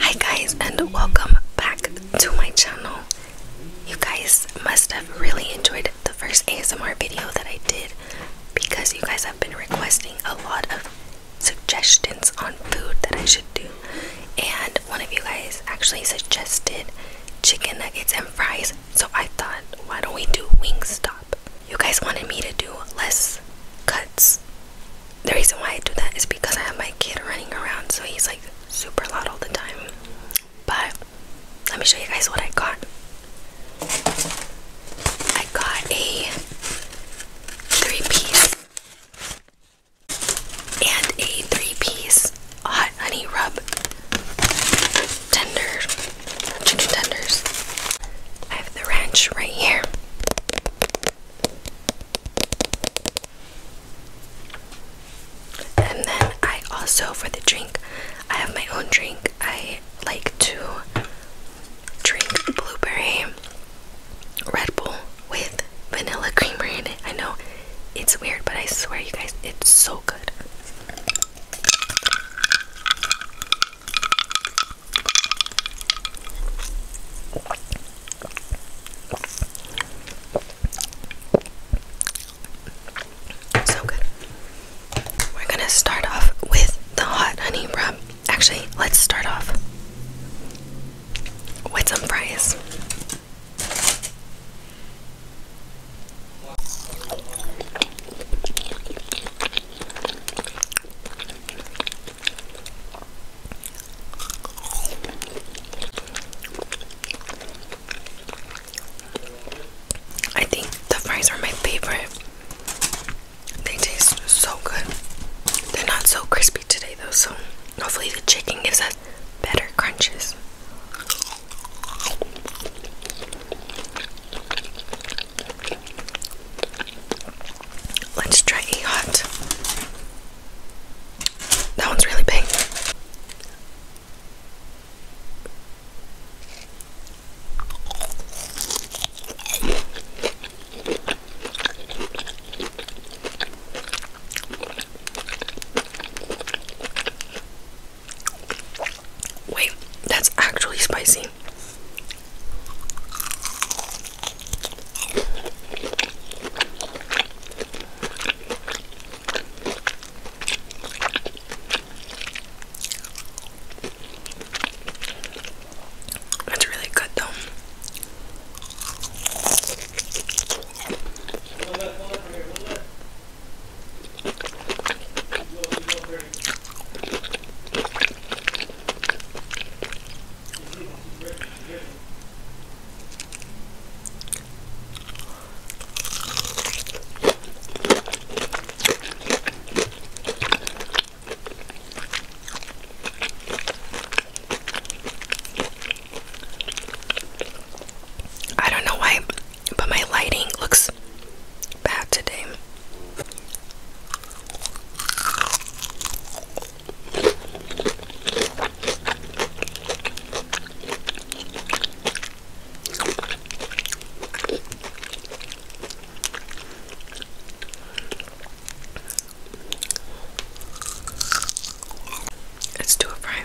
Hi guys and welcome back to my channel. You guys must have really enjoyed the first ASMR video that I did because you guys have been requesting a lot of suggestions on food that I should do and one of you guys actually suggested chicken nuggets and fries so I thought why don't we do Wingstop. You guys wanted me to do less cuts the reason why I do that is because I have my kid running around, so he's like super loud all the time. But let me show you guys what I got. I got a three piece and a three piece hot honey rub tender chicken tenders. I have the ranch right here. And then I also, for the drink, I have my own drink. I like to drink blueberry Red Bull with vanilla creamer in it. I know it's weird, but I swear, you guys, it's so good. So good. We're gonna start off with the hot honey rub. Actually, let's start off with some fries. I think the fries are my favorite. They taste so good. They're not so crispy today though, so hopefully the chicken gives us better crunches. Let's try a hot. That one's really big. Wait, that's actually spicy tasty. It's really good though. I don't know why, but my lighting looks bad today. Let's do a fry.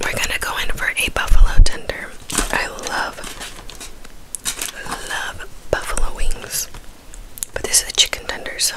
We're gonna go in for a buffalo tender. I love, love buffalo wings, but this is a chicken tender, so.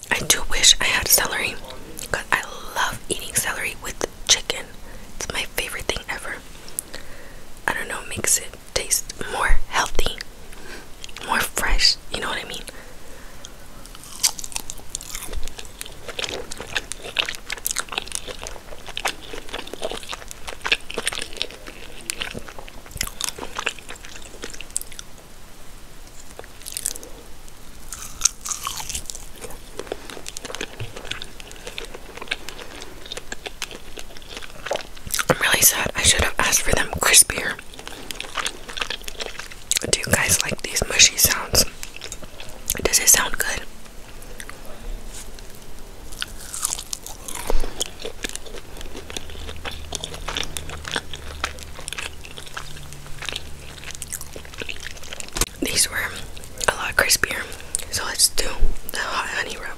I do wish I had celery because I love eating celery with chicken. It's my favorite thing ever. I don't know, makes it taste more healthy, more fresh, you know what I mean? I'm really sad. I should have asked for them crispier. Do you guys like these mushy sounds? Does it sound good? These were a lot crispier, so let's do the hot honey rub.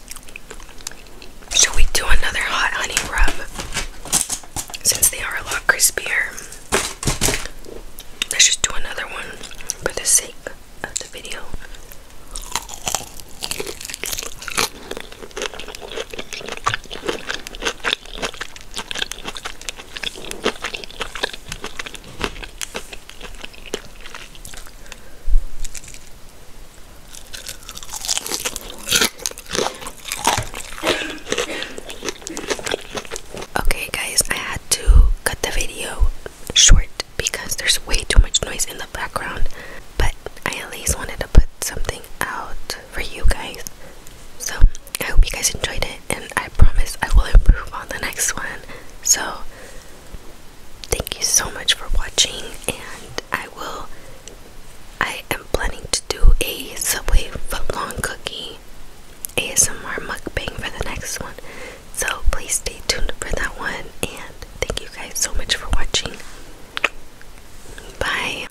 Should we do another hot honey rub? Since they are a lot crispier, let's just do another one for the sake of the video. Okay, guys, I had to cut the video short because there's way too much noise in the background, but I at least wanted to put something out for you guys. So, I hope you guys enjoyed it, and I promise I will improve on the next one. So, thank you so much for watching and I will I am planning to do a Subway footlong cookie ASMR mukbang for the next one. So please stay tuned for that one and thank you guys so much for watching. Bye.